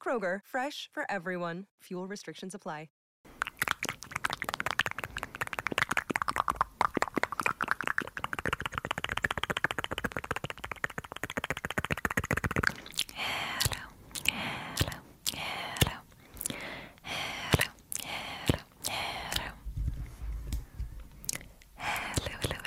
Kroger, fresh for everyone. Fuel restrictions apply. Hello, hello, hello, hello, hello, hello.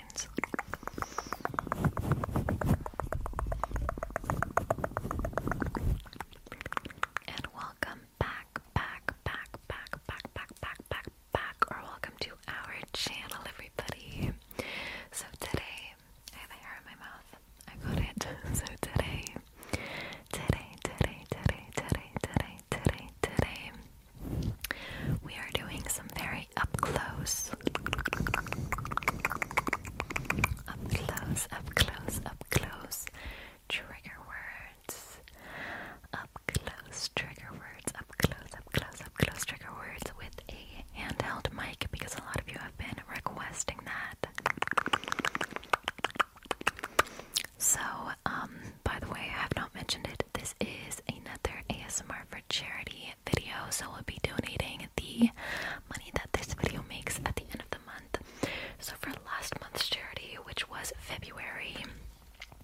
veins. And welcome back, back, back, back, back, back, back, back, back, or welcome to our channel, everybody. So today, have a hair in my mouth. I got it. So today, today, today, today, today, today, today, today, we are doing some very up close, up close, up close, up close trigger words. Up close trigger words, up close, up close, up close trigger words with a handheld mic because a lot of you have been requesting that. So, um, by the way, I have not mentioned it. This is another ASMR for charity video, so we'll be donating the money that this video makes at the end of the month. So, for last month's charity, which was February,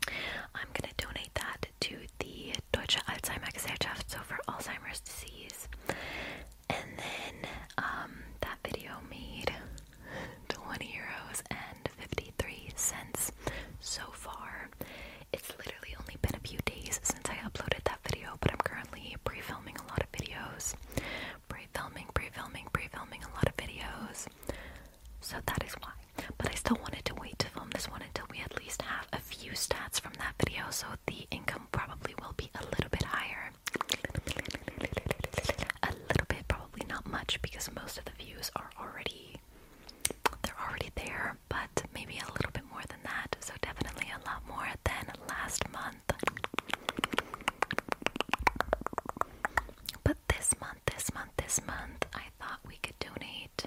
I'm gonna donate that to the Deutsche Alzheimer Gesellschaft, so for Alzheimer's disease. And then um, that video made 20 euros and 53 cents so far. It's literally only been a few days since I uploaded that video, but I'm currently pre filming a lot of videos. Pre filming, pre filming, pre filming a lot of videos. So that is why. But I still wanted to wait to film this one until we at least have a few stats from that video, so the income probably will be a little bit higher. A little bit, probably not much, because most of the views are already they're already there but maybe a little bit more than that. So, definitely a lot more than last month. But this month, this month, this month, I thought we could donate.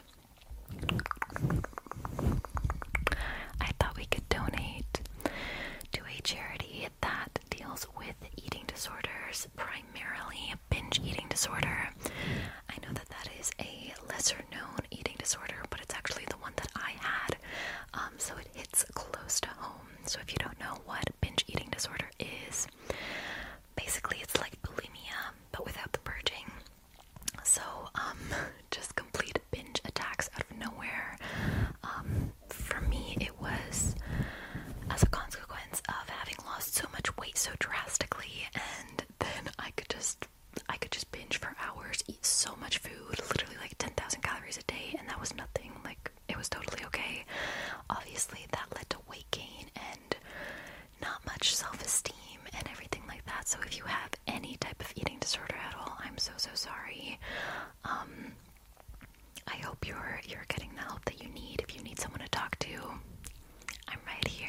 I thought we could donate to a charity that deals with eating disorders, primarily binge eating disorder. I know that that is a lesser known eating disorder, but it's actually the one that I had, um, so it hits close to home. So if you don't know what binge eating disorder is, basically it's like bulimia but without the purging. So um, just complete binge attacks out of nowhere. Um, for me, it was as a consequence of having lost so much weight so drastically and then I could just I could just binge for hours, eat so much food, literally like 10,000 calories a day and that was nothing. Like it was totally okay. Obviously, that led to weight gain and not much self-esteem and everything like that. So if you have any type of eating disorder at all, I'm so so sorry. Um, I hope you're you're getting the help that you need. If you need someone to talk to, I'm right here.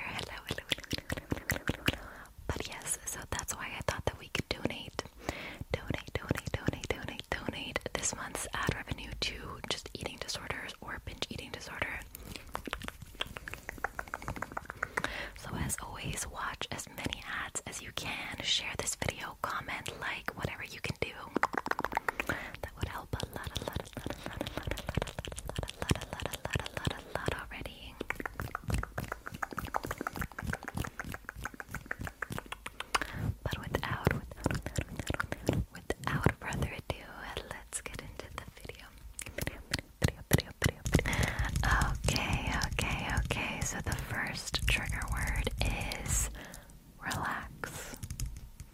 But yes, so that's why I thought that we could donate, donate, donate, donate, donate, donate this month's ad revenue to just eating disorders or binge eating disorder. So as always, watch as many ads as you can. Share this video, comment, like, whatever you can do. That would help a lot, a lot, lot, a lot already. But without, without, further ado, let's get into the video. Okay, okay, okay. So the first trigger word is relax.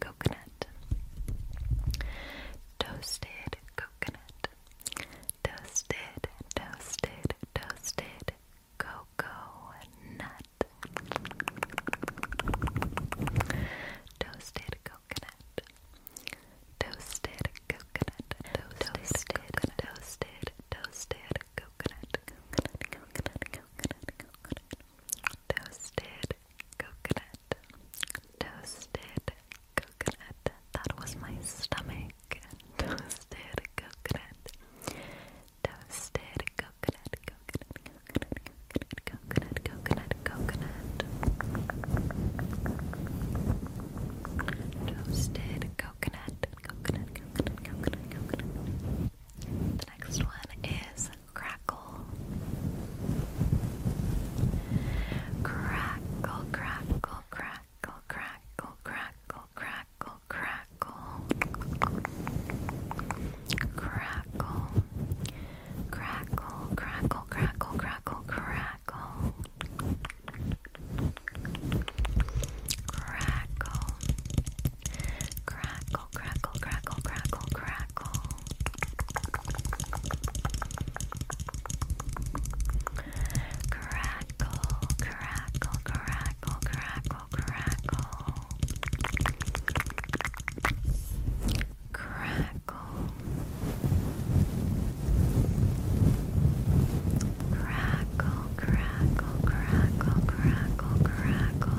coconut. Toasted coconut. Toasted, toasted, toasted cocoa nut. Toasted coconut. Toasted coconut. Toasted, toasted, toasted, toasted coconut. Toasted coconut, toasted coconut. That was my stomach. Toasted coconut, toasted coconut, coconut, coconut, coconut, coconut, coconut, coconut. Toasted coconut, coconut, coconut, coconut, coconut. The next one is crackle, crackle, crackle, crackle, crackle, crackle, crackle, crackle, crackle, crackle, crackle, crackle, crackle, crackle. Crackle, crackle, crackle, crackle, crackle, crackle, crackle. Crackle, crackle, crackle, crackle, crackle. Crackle. Crackle, crackle, crackle, crackle, crackle.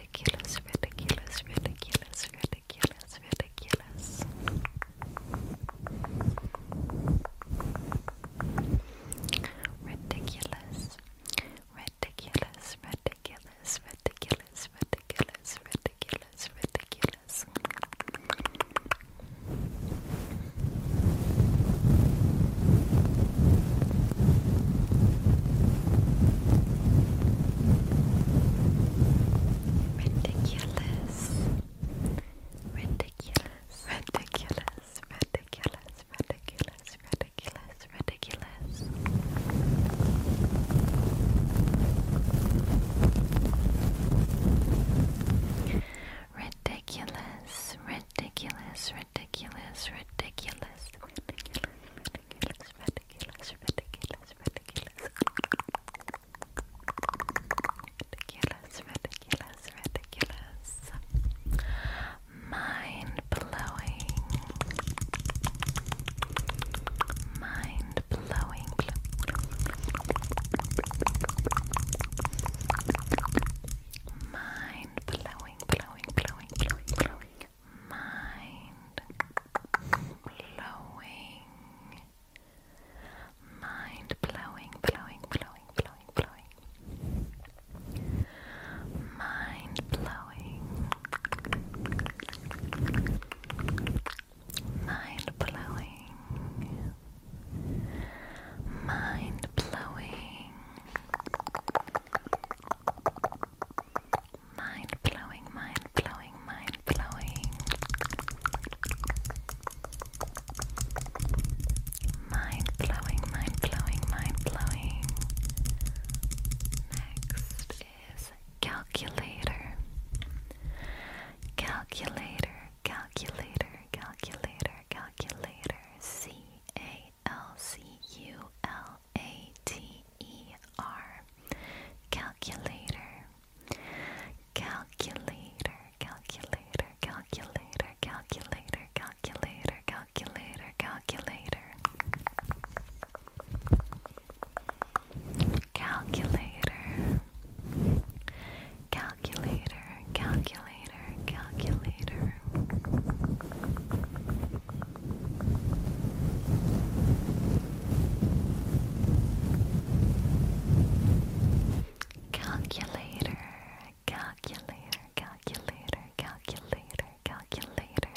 ridiculous, ridiculous, ridiculous, ridiculous, ridiculous. Ridiculous, ridiculous, ridiculous, ridiculous, ridiculous, ridiculous, ridiculous. Ridiculous, Ridiculous. Ridiculous. Ridiculous. Ridiculous. Ridiculous. Ridiculous. Ridiculous. Ridiculous ridiculous, ridiculous, ridiculous, ridiculous, ridiculous, ridiculous, ridiculous, ridiculous, ridiculous, ridiculous, mind blowing, mind blowing. Mind blowing, blowing, blowing, blowing, blowing, mind blowing, mind blowing, blowing, blowing, blowing, blowing, mind blowing, mind blowing, mind blowing. Mind blowing, mind blowing, mind blowing. Mind blowing, mind blowing, mind blowing. Next is calculator. Calculator, calculator, calculator, calculator. C A L C U L A T E R, Calculator Calculator Calculator Calculator Calculator Calculator Calculator Calculator Calculator Calculator Calculator calculator, calculator. Calculator, calculator, calculator, calculator, calculator,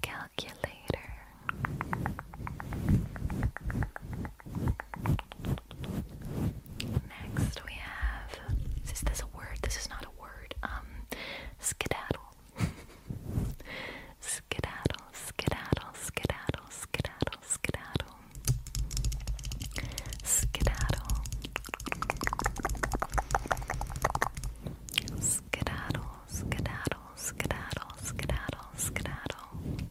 calculator. Next we have is this a word? This is not a word. Um skedaddle. skedaddle, skedaddle, skedaddle, skedaddle, skedaddle. Skedaddle. Skedaddle, skedaddle, skedaddle, skedaddle, skedaddle.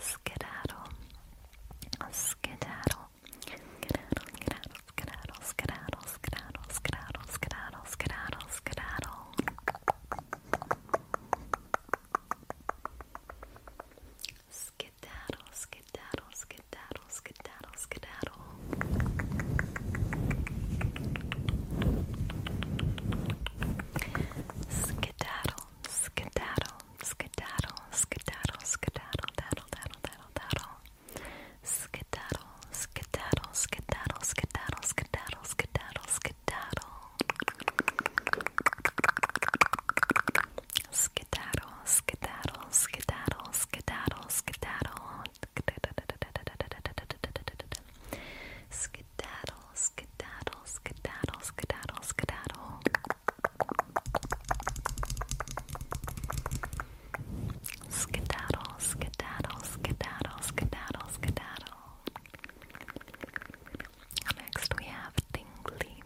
Skedaddle. Skedaddle. Skedaddle, skedaddle, skedaddle, skedaddle, skedaddle, skedaddle, skedaddle, skedaddle, skedaddle. Skedaddle, skedaddle, skedaddle, skedaddle, skedaddle. Skedaddle, skedaddle, skedaddle, skedaddle, skedaddle, daddle, daddle, daddle, daddle. Skedaddle, skedaddle, skedaddle, skedaddle, skedaddle, skedaddle, skedaddle. Skedaddle, skedaddle, skedaddle, skedaddle, skedaddle. Skedaddle, skedaddle, skedaddle, skedaddle, skedaddle, skedaddle. Skedaddle, skedaddle, skedaddle, skedaddle, skedaddle. Next we have tingly.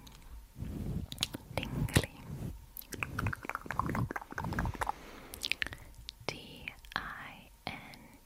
Tingly. D I N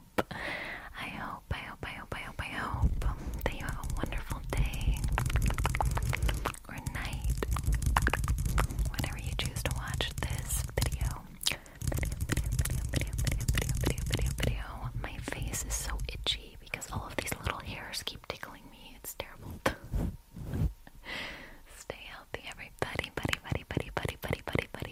hope, I hope, I hope, I hope, I hope, I hope that you have a wonderful day or night, whenever you choose to watch this video. Video, video, video, video, video, video, video, video, video. My face is so itchy because all of these little hairs keep tickling me. It's terrible. Stay healthy, everybody, buddy, buddy, buddy, buddy, buddy, buddy, buddy.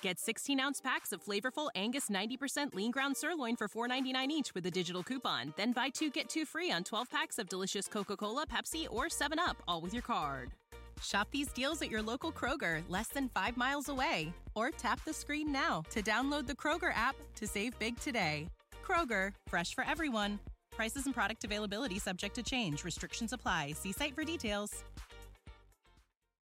Get 16 ounce packs of flavorful Angus 90% lean ground sirloin for $4.99 each with a digital coupon. Then buy two get two free on 12 packs of delicious Coca Cola, Pepsi, or 7UP, all with your card. Shop these deals at your local Kroger, less than five miles away. Or tap the screen now to download the Kroger app to save big today. Kroger, fresh for everyone. Prices and product availability subject to change. Restrictions apply. See site for details.